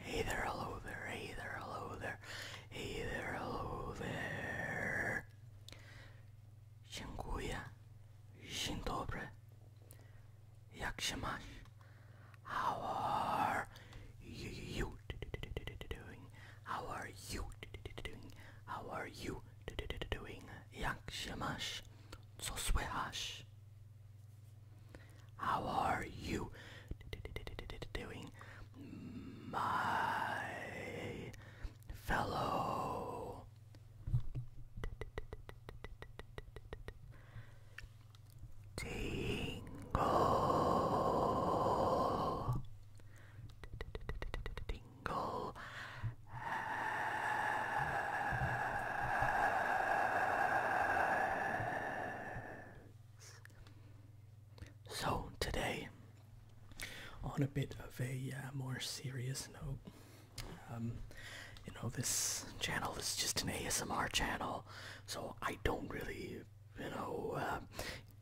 Hey there, hello there, hey there, hello there, hey there, hello there. Dziękuję. Dzień dobry. Jak się masz? How are you doing? How are you doing? How are you doing? Jak się masz? Co słychać? How are you doing, my fellow tingle? Tingle so, today, on a bit of a uh, more serious note, um, you know, this channel is just an ASMR channel, so I don't really, you know, uh,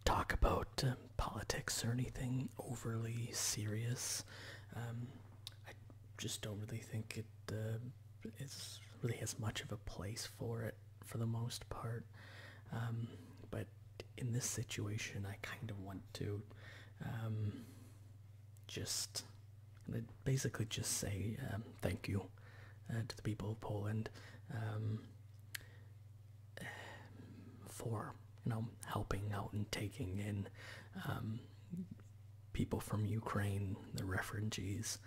talk about um, politics or anything overly serious. Um, I just don't really think it uh, is really as much of a place for it for the most part. Um, but in this situation, I kind of want to um, just basically just say um, thank you uh, to the people of Poland for you know helping out and taking in people from Ukraine, the refugees,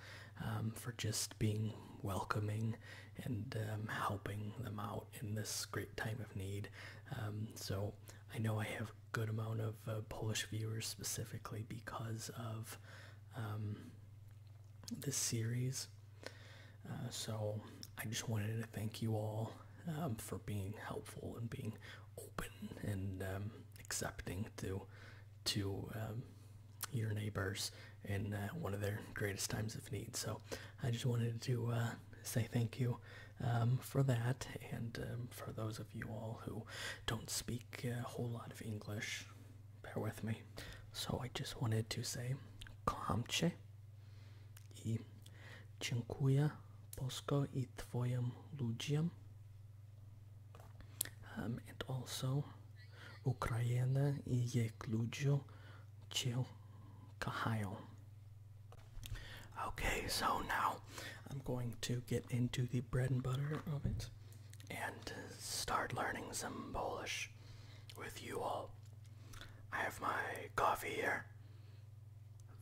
um, for just being welcoming and um, helping them out in this great time of need. Um, so I know I have a good amount of uh, Polish viewers specifically because of this series. Uh, so I just wanted to thank you all for being helpful and being open and accepting to to your neighbors in uh, one of their greatest times of need. So I just wanted to uh, say thank you um, for that, and um, for those of you all who don't speak a whole lot of English, bear with me. So I just wanted to say komche i dziękuję Polsko i twoim ludziom um, and also, Ukraina je klujo chil kahail. Okay, so now I'm going to get into the bread and butter of it and start learning some Polish with you all. I have my coffee here.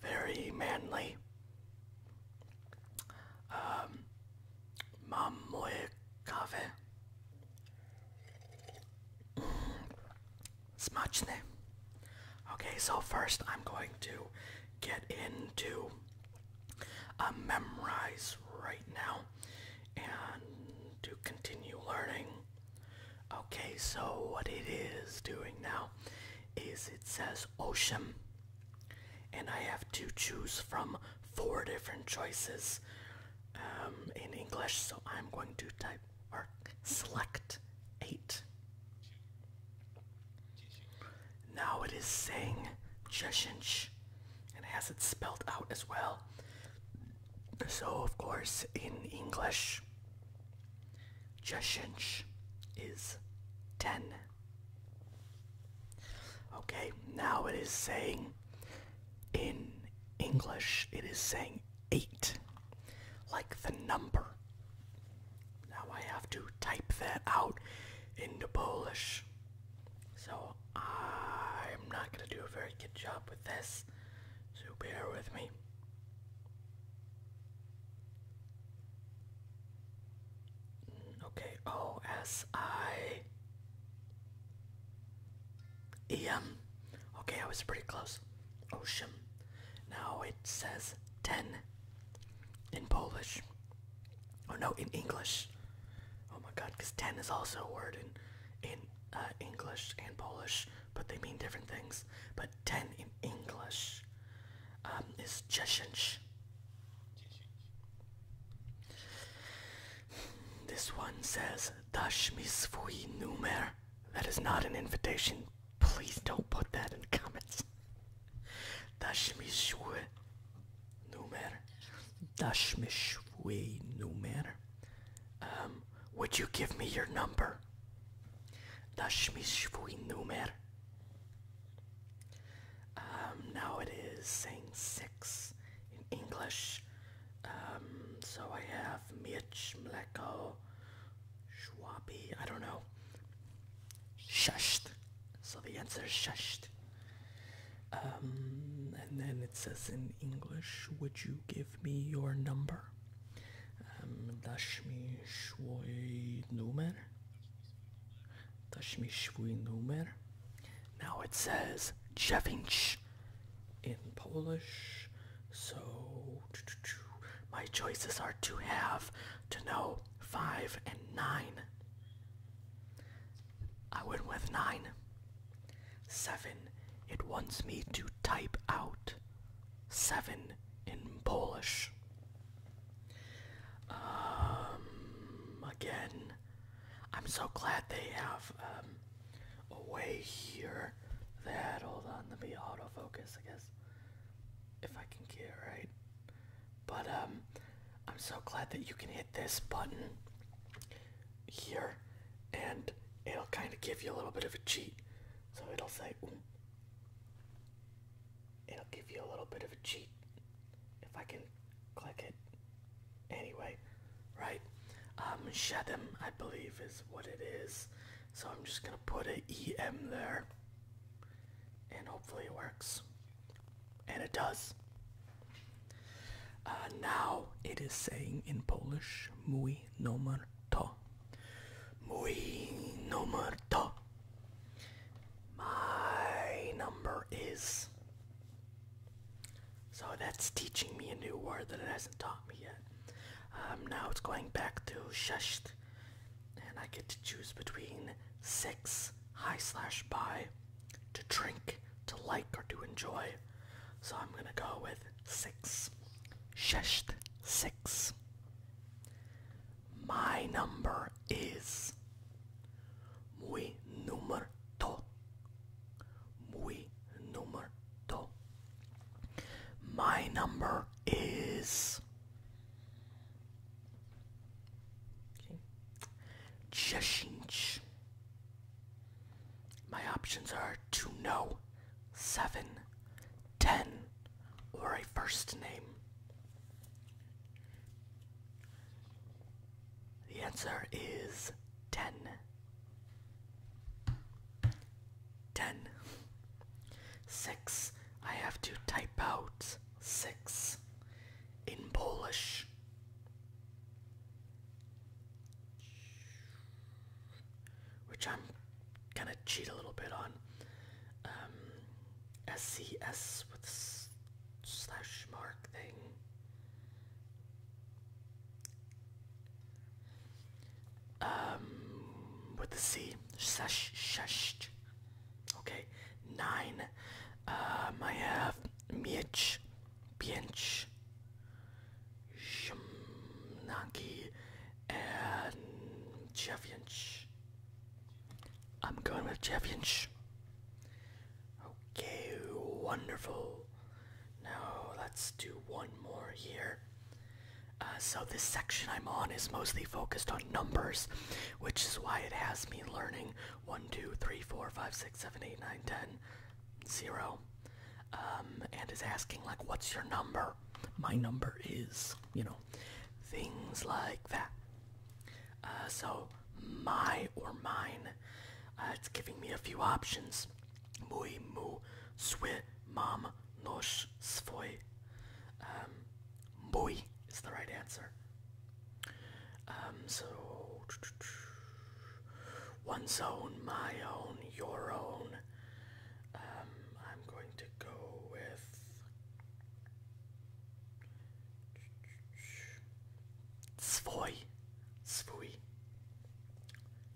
Very manly. Um, mam moje mm. Okay, so first I'm going to get into uh, memorize right now and to continue learning. Okay, so what it is doing now is it says ocean and I have to choose from four different choices um, in English. So I'm going to type or select eight. Now it is saying Cheshinch and has it spelled out as well. So of course in English, Cheshinch is ten. Okay, now it is saying in English, it is saying eight, like the number. Now I have to type that out into Polish. So I'm not going to do a very good job with this, so bear with me. Okay, O S I E M. Okay, I was pretty close. Ocean. Now it says 10 in Polish. Oh no, in English. Oh my god, because 10 is also a word in, in uh, English and Polish, but they mean different things. But 10 in English um, is 10. This one says, Dash misfui nummer." That is not an invitation. Please don't put that in comments. Dash misfui nummer. Dash misfui nummer. Um, would you give me your number? Dash misfui nummer. Um, now it is saying six in English. Um, so I have Mietch, Mleko, Schwabi, I don't know. Shusht. So the answer is shusht. Um, and then it says in English, would you give me your number? Um, dash me schwoi nummer. Tashmishwy numer. Now it says dziewięć in Polish, so my choices are to have, to know, five and nine. I went with nine. Seven, it wants me to type out seven in Polish. Um, again, I'm so glad they have um, a way here that, hold on, let me autofocus, I guess, if I can get it right. But um, I'm so glad that you can hit this button here and it'll kind of give you a little bit of a cheat. So it'll say, it'll give you a little bit of a cheat if I can click it. Anyway, right? Um, Shedem, I believe, is what it is. So I'm just gonna put an EM there, and hopefully it works. And it does. Uh, now it is saying in Polish, mój numer to. Mój numer to. My number is. So that's teaching me a new word that it hasn't taught me yet. Um, now it's going back to shesht, and I get to choose between six high slash by to drink, to like, or to enjoy. So I'm gonna go with six. Shesht six. My number is My number is My options are two, no, seven, ten or a first name? The answer is 10. 10. 6. I have to type out 6 in Polish. Which I'm gonna cheat a little bit on. Um, SCS with s slash mark thing. Um, with the C, slash, slash. Okay, nine. Um, I have Miech, Biench, and Cheviench. I'm going with Jeff Inch. Okay, wonderful. Now let's do one more here. Uh, so this section I'm on is mostly focused on numbers, which is why it has me learning 1, 2, 3, 4, 5, 6, 7, 8, 9, 10, 0. Um, and is asking like, what's your number? My number is, you know, things like that. Uh, so my or mine, uh, it's giving me a few options. Mój, mu, swy, mam, nosz, swój. Um, is the right answer. Um, so one's own, my own, your own. Um, I'm going to go with Svoy. Svoy.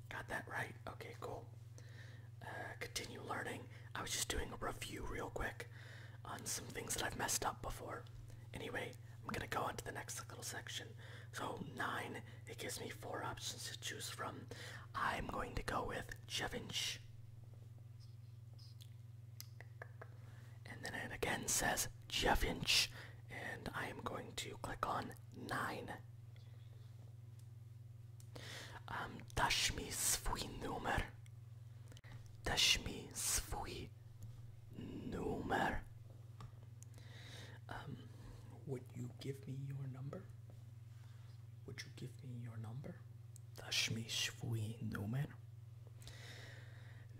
Got that right. Okay, cool. Uh, continue learning. I was just doing a review real quick on some things that I've messed up before. Anyway, I'm gonna go on to the next little section. So nine, it gives me four options to choose from. I'm going to go with Chevinch. And then it again says Javinch, and I am going to click on 9. Um, dasz mi swój numer. Dasz mi swój numer. Um, would you give me your number? Would you give me your number? mi swój numer.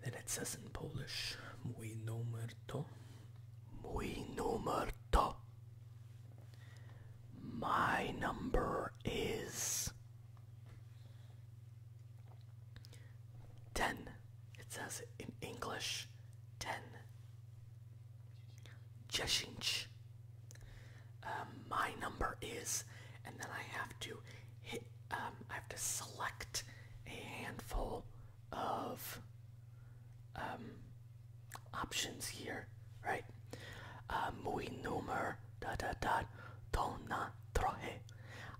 Then it says in Polish, mój numer to. Mój numer to. My number is. 10. It says in English 10. 10. Um, my number is, and then I have to hit, um, I have to select a handful of um, options here, right? Uh, muy numer da da don't not troje.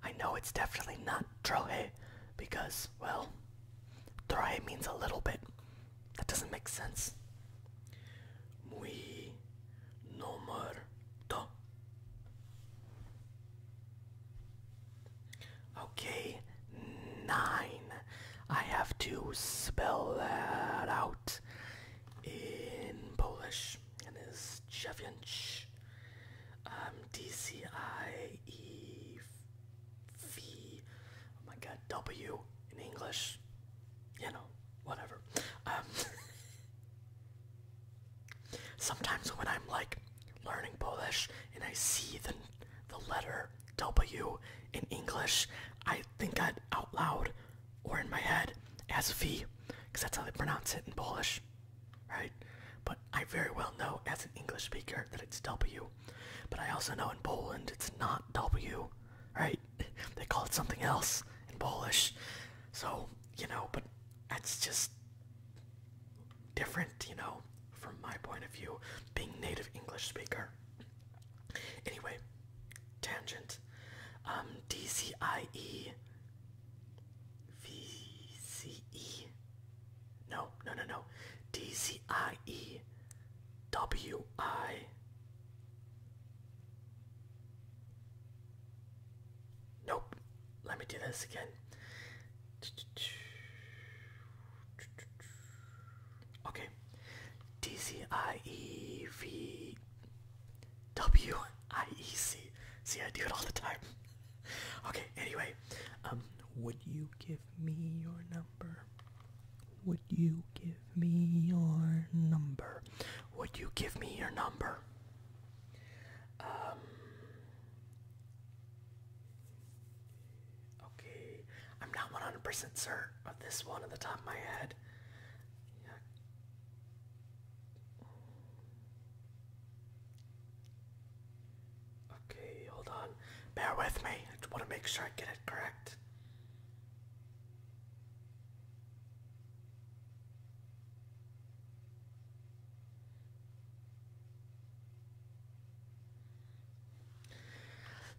I know it's definitely not troje because, well, troje means a little bit. That doesn't make sense muy no muerto. Okay, nine. I have to spell that out in Polish, and it's dziewięć. Um, D C I E V. Oh my God, W in English. You know whatever. Um, sometimes when I'm like learning Polish and I see the the letter W in English, I think that out loud or in my head as V, because that's how they pronounce it in Polish, right? But I very well know as an English speaker that it's W. But I also know in Poland it's not W, right? they call it something else in Polish. So, you know, but that's just different, you know, from my point of view, being native English speaker. Anyway, tangent. Um, D C I E V C E. No, no, no, no. D C I E W I. Nope. Let me do this again. Okay. D C I E V W I E C. See, I do it all the time. Okay. Anyway, um, would you give me your number? Would you give me your number? Would you give me your number? Um, okay, I'm not 100% certain of this one at the top of my head. Okay, hold on. Bear with me. I want to make sure I get it correct.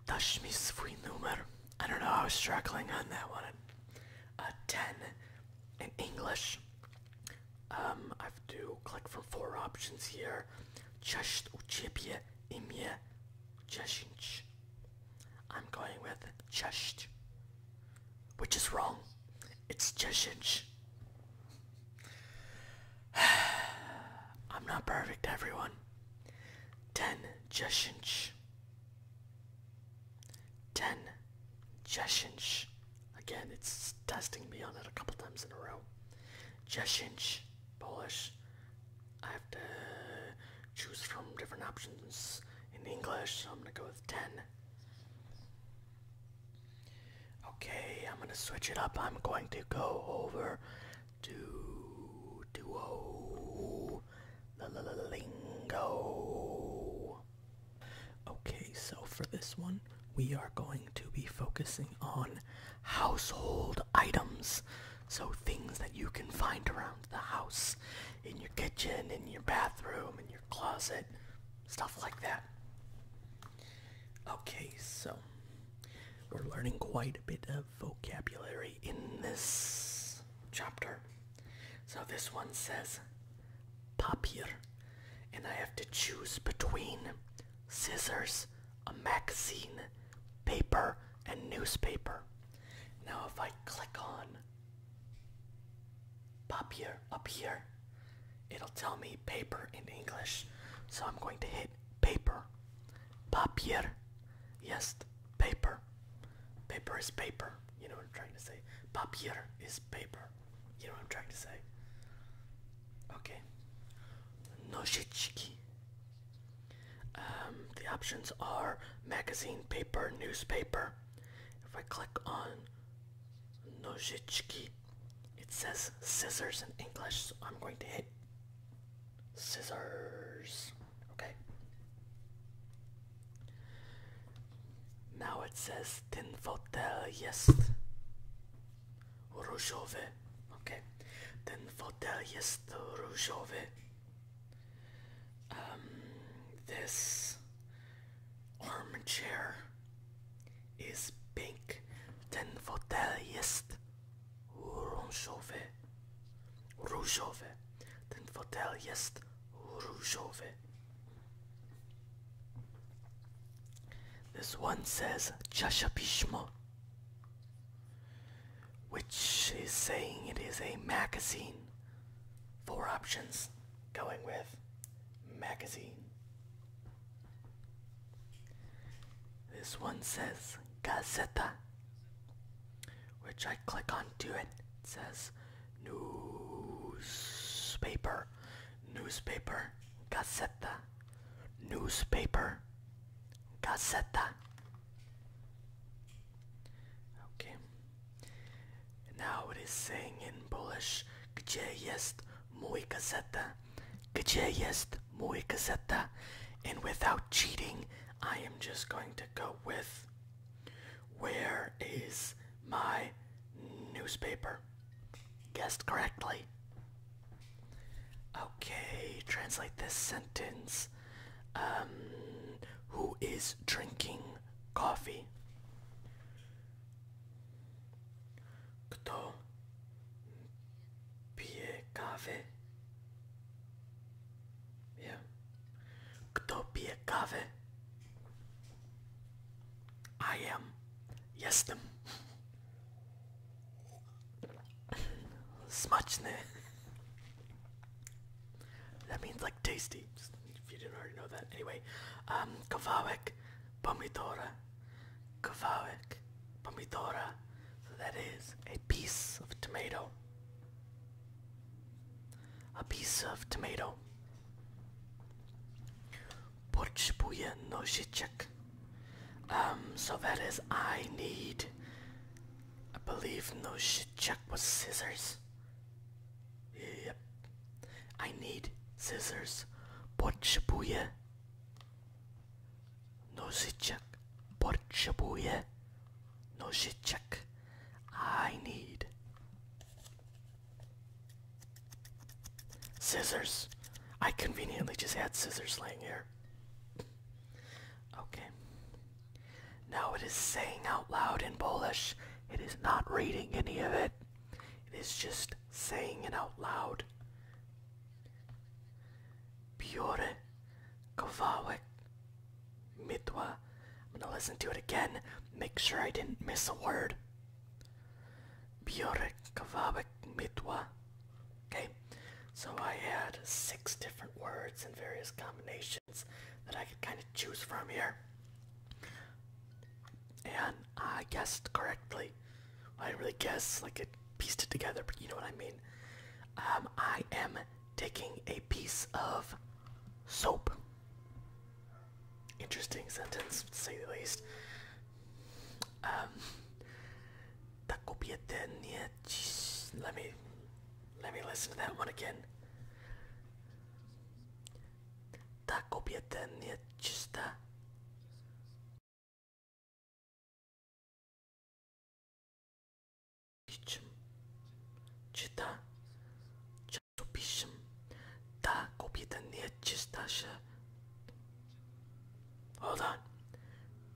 Touch me, sweet numer. I don't know, I was struggling on that one. A 10 in English. Um, I have to click from four options here. Just uchipie imie 10. I'm going with chest, which is wrong. It's cheshinch. I'm not perfect, everyone. Ten cheshinch. Ten cheshinch. Again, it's testing me on it a couple times in a row. Cheshinch, Polish. I have to choose from different options in English, so I'm gonna go with 10. Okay, I'm gonna switch it up. I'm going to go over to Duo Lingo. Okay, so for this one, we are going to be focusing on household items. So things that you can find around the house, in your kitchen, in your bathroom, in your closet, stuff like that. Okay, so we're learning quite a bit of vocabulary in this chapter. So this one says papier, and I have to choose between scissors, a magazine, paper, and newspaper. Now, if I click on Papier here, up here, it'll tell me paper in English. So I'm going to hit paper. Papier. Yes, paper. Paper is paper. You know what I'm trying to say. Papier is paper. You know what I'm trying to say. Okay. Noshitsky. Um, the options are magazine, paper, newspaper. If I click on nozichki, it says scissors in English, so I'm going to hit scissors. Okay. Now it says ten fotel jest różowy. Okay. Ten fotel jest różowy. Um, this armchair is pink. Ten fotel jest różowy. This one says Czasza which is saying it is a magazine. Four options going with magazine. This one says Gazeta, which I click on to it. It says newspaper, newspaper, Gazeta, newspaper, Gazeta. Okay. Now it is saying in Polish, Gdzie jest mój gazeta? Gdzie jest mój gazeta? And without cheating, I am just going to go with, Where is my newspaper? Guessed correctly. Okay, translate this sentence. Um, who is drinking coffee? Kto pije kawę? Yeah. Kto pije kawę? I am. Jestem. Smuchne. That means like tasty. If you didn't already know that. Anyway, um, kawałek pomidora. Kawałek pomidora. So that is a piece of tomato. A piece of tomato. Potrzebuję nożyczek. Um, so that is I need I believe no shit check was scissors. Yep. I need scissors. Port Shibuya. No shit check. Port Shibuya. No shit check. I need scissors. I conveniently just had scissors laying here. Okay. Now it is saying out loud in Polish. It is not reading any of it. It is just saying it out loud. Biorę kawałek mitwa. I'm gonna listen to it again. Make sure I didn't miss a word. Biorę kawałek mitwa. Okay, so I had six different words in various combinations that I could kind of choose from here. And I guessed correctly. I didn't really guess, like it pieced it together, but you know what I mean. Um, I am taking a piece of soap. Interesting sentence, to say the least. Um, tak nie Jeez, let me let me listen to that one again. Ta kobieta nie czysta. Niczym. Czyta. Czasopism. Ta kobieta nie czysta się. Hold on.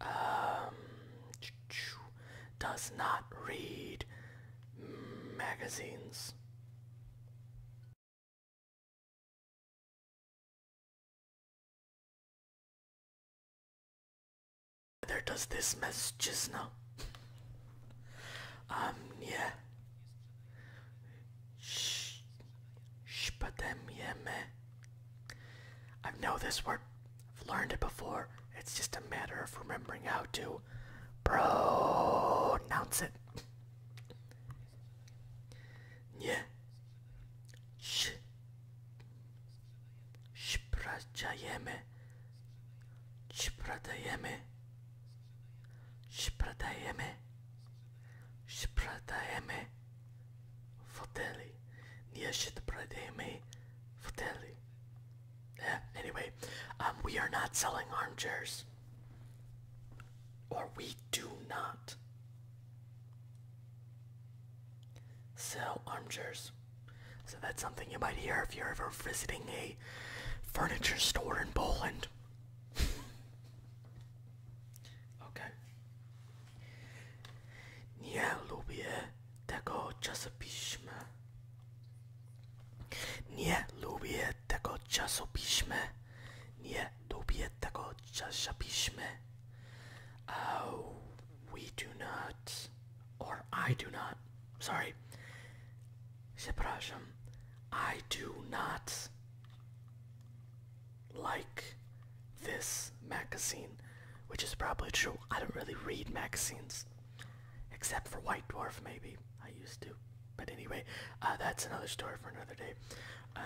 Um, does not read magazines. Whether does this messages now? Um, yeah. Shh. Shpademyeme. I know this word. I've learned it before. It's just a matter of remembering how to pronounce it. Nye. Sh. Shprajayeme. Shpradayeme. Shpradayeme. Shpradayeme. Fratelli. Nie shit prademe. Fratelli. Yeah, anyway, um, we are not selling armchairs. Or we do not sell armchairs. So that's something you might hear if you're ever visiting a furniture store in Poland. okay. Nie lubię tego czasopiśma. Nie lubię tego czasopiśma. Nie lubię tego czasopiśma. Oh, we do not, or I do not, sorry. Przepraszam. I do not like this magazine, which is probably true. I don't really read magazines, except for White Dwarf, maybe. I used to. But anyway, uh, that's another story for another day. Uh,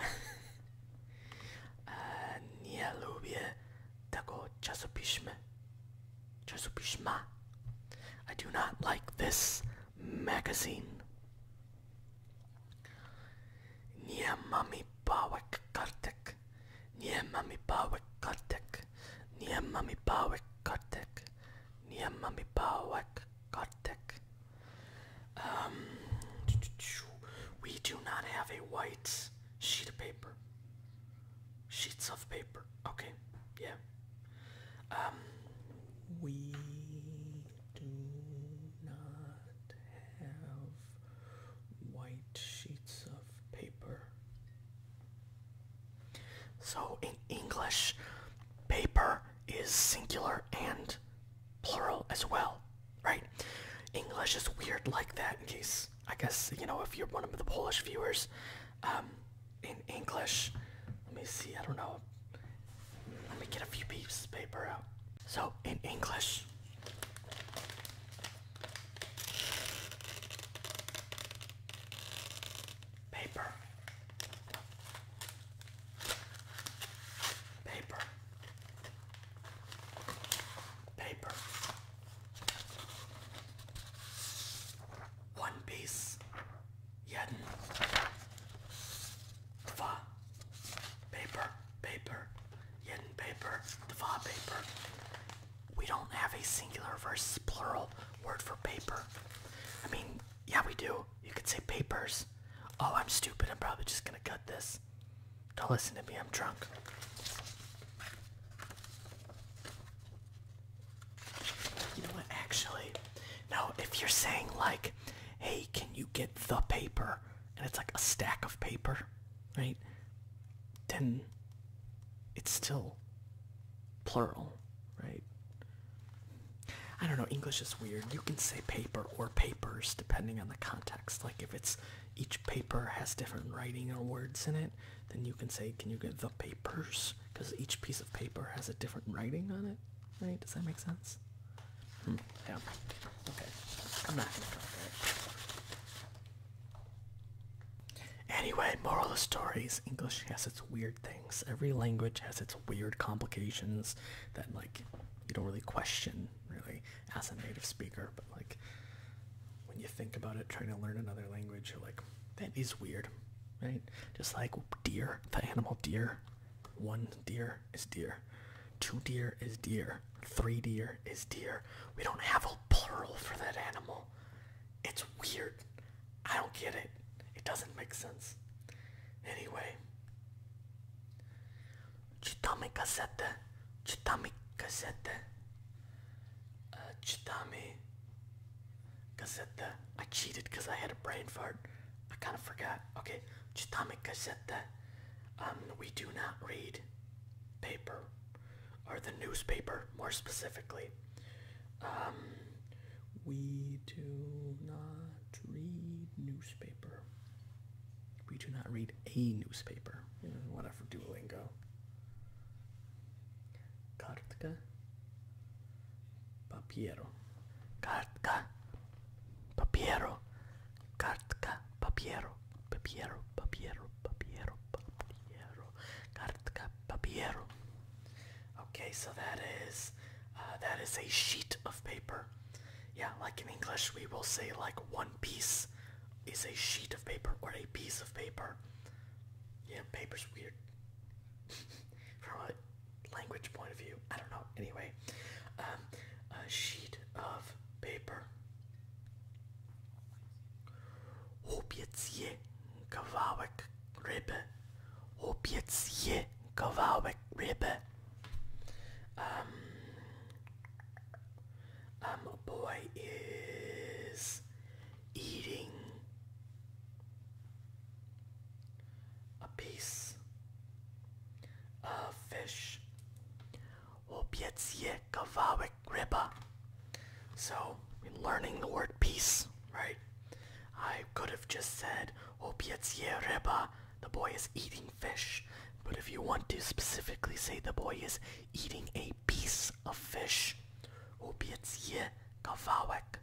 Nie tego czasopisma. Czasopisma. I do not like this magazine. Nie mamy pałek kartek. Nie mamy pałek kartek. Nie mamy pałek kartek. Nie mamy pałek kartek. Um, we do not have a white sheet of paper. Sheets of paper. Okay. Yeah. Um, we do not have white sheets of paper. So in English, paper is singular and plural as well, right? English is weird like that in case, I guess, you know, if you're one of the Polish viewers, um, in English, let me see, I don't know let me get a few pieces of paper out. So, in English, paper, paper, paper, one piece, jeden, dwa paper, paper, yin paper, the dva paper. We don't have a singular versus plural word for paper. I mean, yeah, we do. You could say papers. Oh, I'm stupid. I'm probably just gonna cut this. Don't listen to me. I'm drunk. You know what? Actually, no. If you're saying like, "Hey, can you get the paper?" and it's like a stack of paper, right? Then it's still plural, right? I don't know, English is weird. You can say paper or papers depending on the context. Like if it's each paper has different writing or words in it, then you can say, can you get the papers? Because each piece of paper has a different writing on it, right? Does that make sense? Anyway, moral of stories. English has its weird things. Every language has its weird complications that like you don't really question really as a native speaker, but like when you think about it, trying to learn another language, you're like, that is weird, right? Just like deer, the animal deer, one deer is deer. Two deer is deer. Three deer is deer. We don't have a plural for that animal. It's weird. I don't get it. It doesn't make sense. Anyway. Chitami kasete. Chitami kasete. Uh, Chitami kasete. I cheated because I had a brain fart. I kind of forgot. Okay, czytamy um, we do not read paper, or the newspaper, more specifically. Um, we do not read newspaper. We do not read a newspaper. Whatever, Duolingo. Carta. Papiero. Carta. Papiero. Kartka. Papiero. Papiero. Papiero. Papiero. Papiero. Kartka. Papiero. Okay, so that is uh, that is a sheet of paper. Yeah, like in English, we will say like one piece is a sheet of paper or a piece of paper. Yeah, paper's weird. language point of view. I don't know. Anyway, um, a sheet of paper. Opiecie kawałek ryby. Opiecie kawałek ryby. Um, um, a boy is eating a piece of fish. Opiecie kawałek ryba. So, in learning the word piece, right? I could have just said opiecie ryba, the boy is eating fish. But if you want to specifically say the boy is eating a piece of fish, opiecie kawałek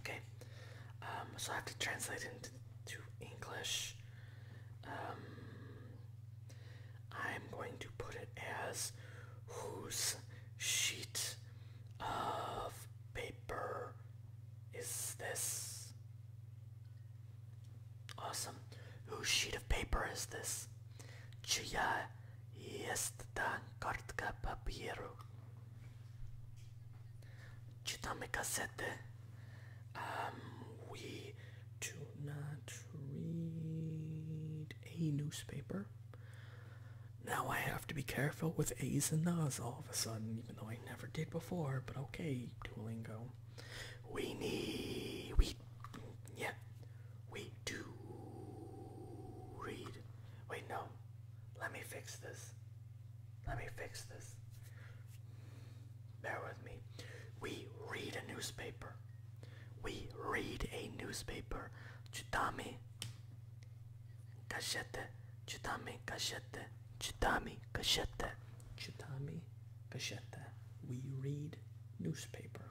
Okay. Um, so I have to translate it into English. Um, I'm going to put it as whose sheet of paper is this? Awesome. Whose sheet of paper is this? Чья есть та картка папиру? Czytamy kasetę. Um, we do not read a newspaper. Now I have to be careful with A's and Na's all of a sudden, even though I never did before, but okay, Duolingo. We need, we, yeah, we do read. Wait, no, let me fix this. Let me fix this. Bear with me. We read a newspaper. We read a newspaper. Читаме. Кашете. Читаме. Кашете. Читаме. Кашете. Читаме. Кашете. We read newspaper.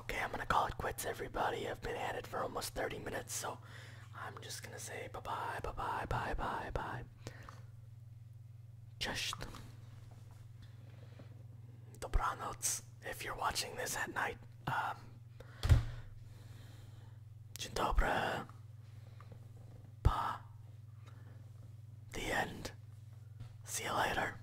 Okay, I'm gonna call it quits, everybody. I've been at it for almost 30 minutes, so I'm just gonna say bye bye, bye bye, bye bye, bye. Just. Dobranoc, if you're watching this at night. Um. Dzień Pa. The end. See you later.